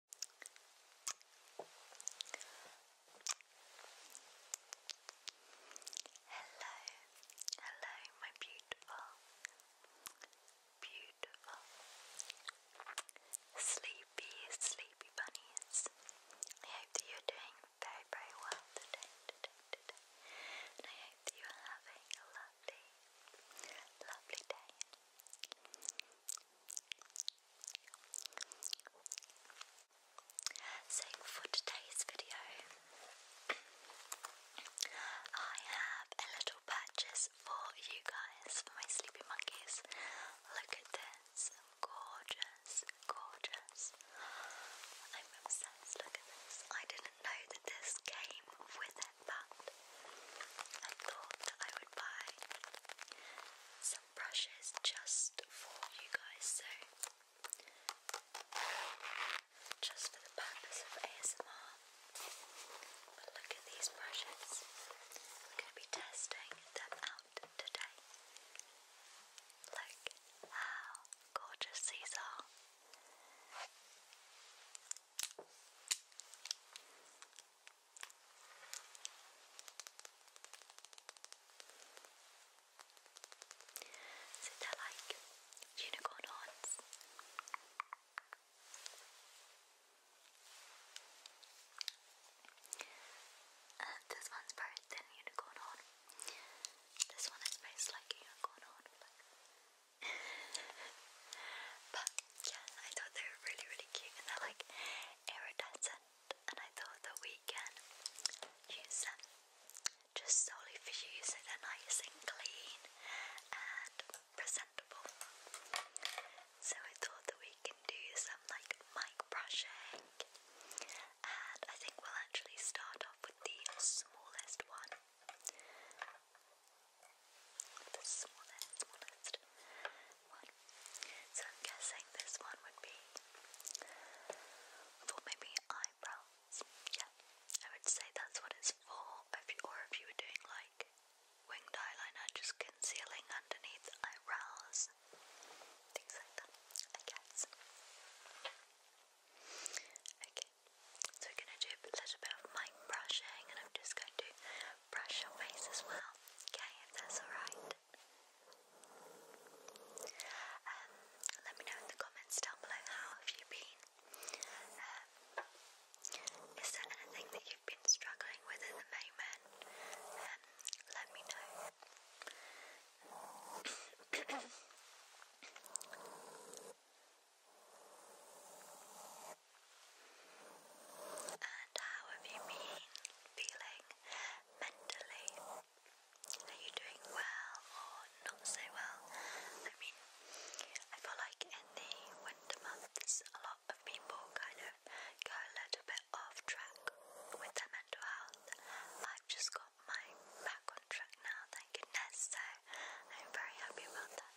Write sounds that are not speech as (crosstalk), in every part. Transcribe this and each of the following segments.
Hello, hello, my beautiful, beautiful, sleepy, sleepy bunnies. I hope that you're doing very, very well today, And I hope that you are having a lovely, lovely day. So for today's video, I have a little purchase for you guys, for my sleepy monkeys. Look at this, gorgeous, gorgeous. I'm obsessed, look at this. I didn't know that this came with it, but I thought I would buy some brushes just for you guys, so just for the purpose of ASMR. But look at these brushes. We're going to be testing them out today. Look how gorgeous these are. So they like unicorn horns. this one's very thin unicorn horn. This one is based unicorn horn. (laughs) Yeah, I thought they were really, really cute and they're like iridescent. And I thought that we can use them just solely for you so they're nice and clean and presentable. So I thought that we can do some like mic brushing. And I think we'll actually start off with the smallest one the smallest, smallest one. So I'm guessing this one would be for maybe eyebrows. Yeah, I would say that's what it's for. or if you were doing like winged eyeliner, just concealing underneath eyebrows, things like that. I guess. Okay, so we're gonna do a little bit of mic brushing, and I'm just going to brush your face as well, okay, if that's alright. Um, let me know in the comments down below how have you been. Um, is there anything that you've been struggling with at the moment? Um, let me know. And how have you been feeling mentally? Are you doing well or not so well? I mean, I feel like in the winter months, a lot of people kind of go a little bit off track with their mental health. I've just got my back on track now, thank goodness, I'm very happy about that.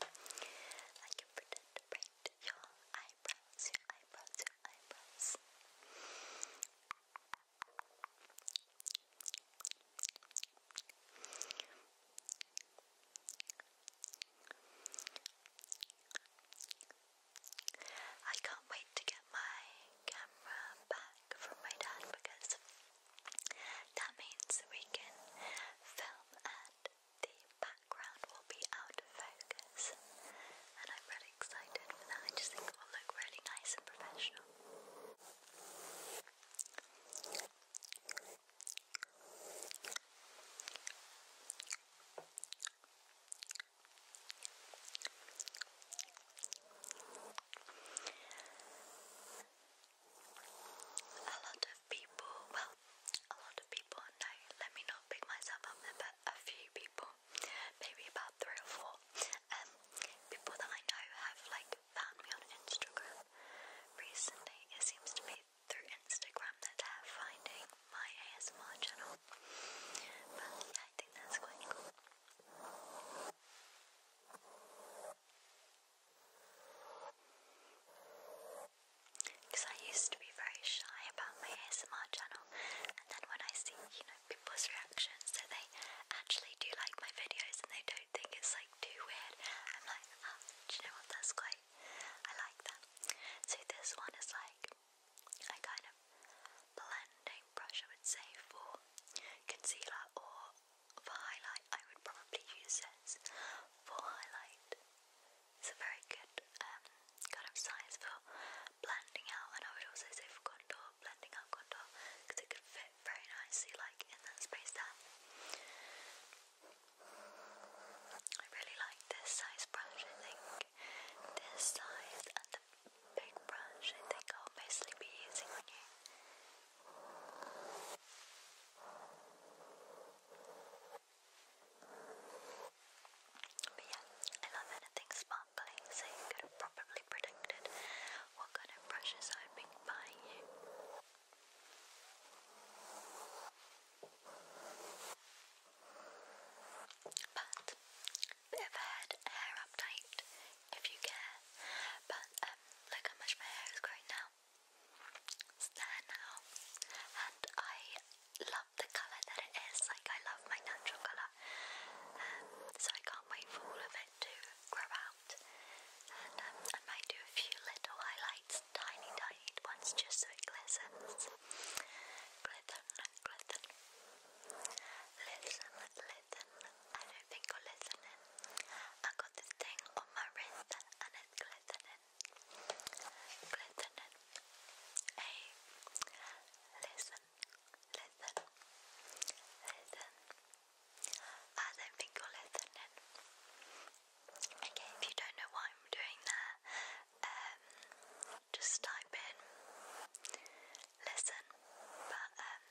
I can pretend to paint your eyebrows, your eyebrows, your eyebrows. I can't wait to get my camera back from my dad because that means we can film and the background will be out of focus, and I'm really excited I just think it will look really nice and professional of people, well, a lot of people, no, let me not pick myself up but a few people, maybe about three or four, um, people that I know have like found me on Instagram recently. It seems to be through Instagram that they're finding my ASMR channel, but I think that's quite cool. Because I used to be very shy about my ASMR channel, and then when I see, you know, people's reactions that they actually do like my videos and they don't think it's like too weird, I'm like, oh, do you know what? That's quite, I like that. So this one is like a kind of blending brush, I would say, for concealer or for highlight. I would probably use this for highlight. It's a very good um, kind of size for blending out, and I would also say for contour, blending out contour, because it could fit very nicely like in that space there. I really like this size brush. I think this size and the big brush I think I'll mostly be using on you. But yeah, I love anything sparkly, so you could have probably predicted what kind of brushes I'd be buying you. But, bit of a hair update if you care. But um, look how much my hair is growing now. It's there now. And I love the colour that it is. Like, I love my natural colour. Um, so I can't wait for all of it to grow out. And um, I might do a few little highlights, tiny, tiny ones, just so it glistens. Glisten, glisten. Listen, listen. I don't think you're listening. I got this thing on my wrist and it's glistening. Listen. Hey. Listen. Listen. Listen. I don't think you're listening. Okay, if you don't know why I'm doing that, um just type in listen. But um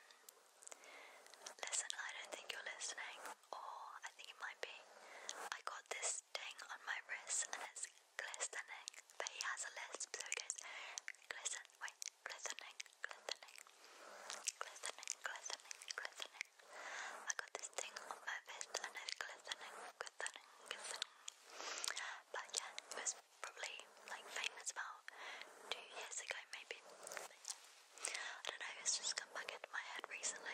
listen, I don't think you're listening or I think it might be. I got this thing on my wrist and it's glistening, but he has a lisp, so it goes glisten, wait, glistening, glistening, glistening, glistening, glistening. I got this thing on my wrist and it's glistening, glistening, glistening. But yeah, it was probably like famous about two years ago, maybe. But, yeah. I don't know, it's just come back into my head recently.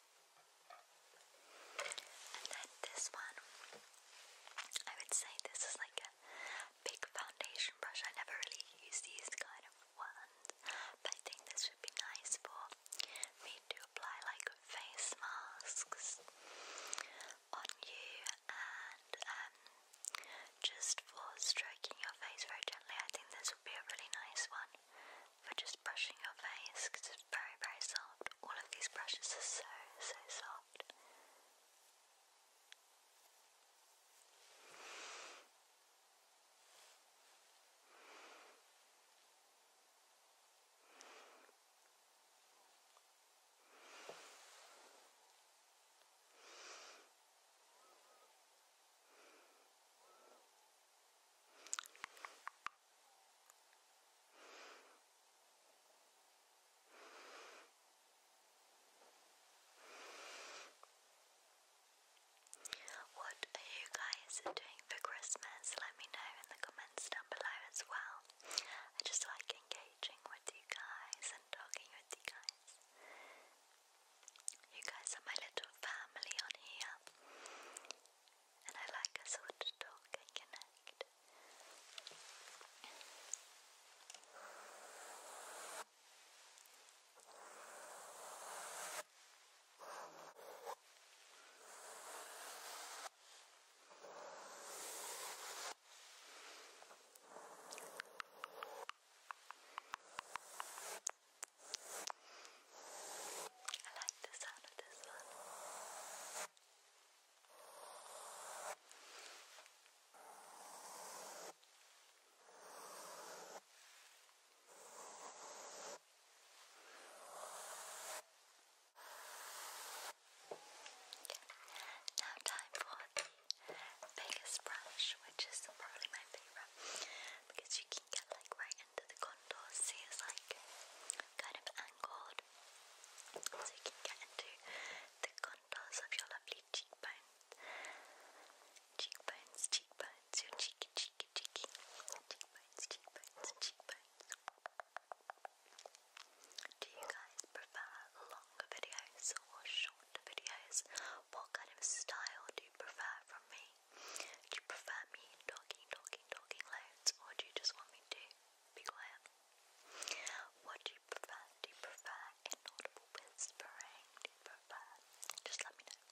And then this one, I would say this is like a big foundation brush. I never really use these kind of ones, but I think this would be nice for me to apply like face masks on you and um, just for stroking your face very gently. I think this would be a really nice one for just brushing your face because it's very, very soft. All of these brushes are so, so soft. What are you guys doing for Christmas? Let me know in the comments down below as well. I just like engaging with you guys and talking with you guys. You guys are my little family on here, and I like us all to talk and connect. I like the sound of this one. Okay. Now time for the biggest brush, which is probably my because you can get like right into the contours. See, it's like kind of angled, so you can get into the contours of your lovely cheekbones, cheekbones, cheekbones, cheeky, cheeky, cheeky, cheekbones, cheekbones, cheekbones. Do you guys prefer longer videos or shorter videos? What kind of style do you prefer from me? me? Do you prefer me talking, talking, talking loads, or do you just want me to be quiet? What do you prefer? Do you prefer inaudible whispering? Do you prefer? Just let me know.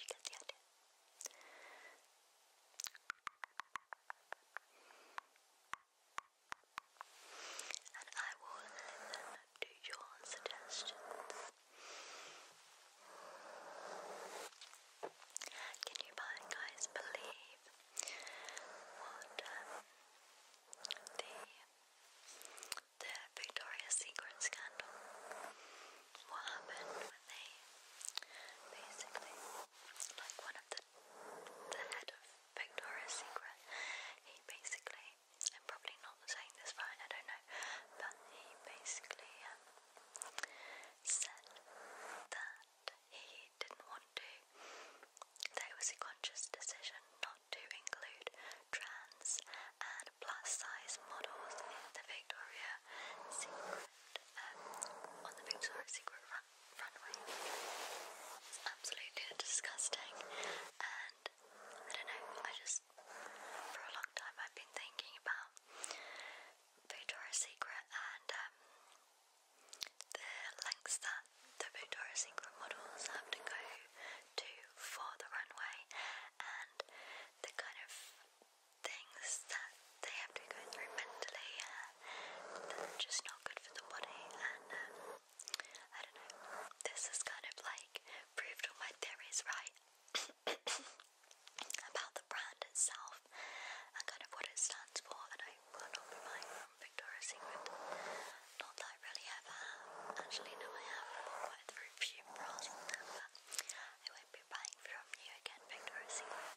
You get the idea. And I will listen to your suggestions. Can you guys believe what um, the the Victoria's Secret scandal? What happened when they basically like one of the the head of Victoria's Secret? He basically I'm probably not saying this right, I don't know, but he basically um, said that he didn't want to, that it was a conscious decision not to include trans and plus size models in the Victoria Secret, um, on the Victoria Secret runway. It's absolutely disgusting, and I don't know, I just for a long time I've been thinking about Victoria's Secret and um, the lengths that the Victoria's Secret models have to go to for the runway and the kind of things that they have to go through mentally uh, just not good for the body and um, I don't know, this is kind of like proved all my theories right (coughs) about the brand itself and kind of what it stands for. And I will not be buying from Victoria's Secret. Not that I really ever Actually, no, I have bought quite through few bras but I won't be buying from you again, Victoria's Secret.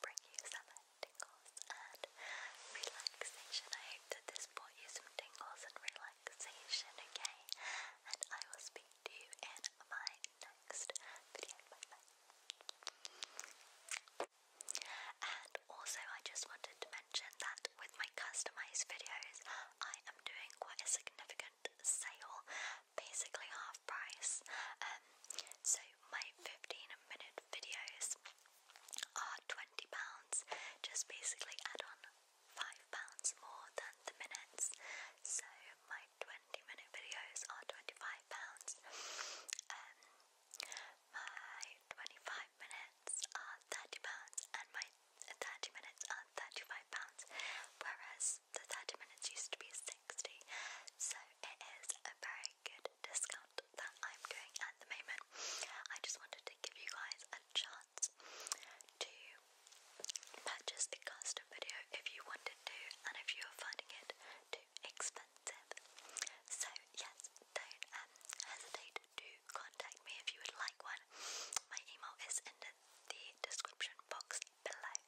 bring you some tingles and relaxation. I hope that this brought you some tingles and relaxation, okay? And I will speak to you in my next video. And also, I just wanted to mention that with my customized videos, I am doing quite a significant sale basically half price. Um, so my 15 minute videos are £20, just basically add on £5 more than the minutes. So my 20 minute videos are £25. Um, my 25 minutes are £30 and my 30 minutes are £35, whereas the 30 minutes used to be £6 60 so it is a very good discount that I'm doing at the moment. I just wanted to give you guys a chance to purchase a custom video if you wanted to and if you are finding it too expensive. So yes, don't um, hesitate to contact me if you would like one. My email is in the description box below.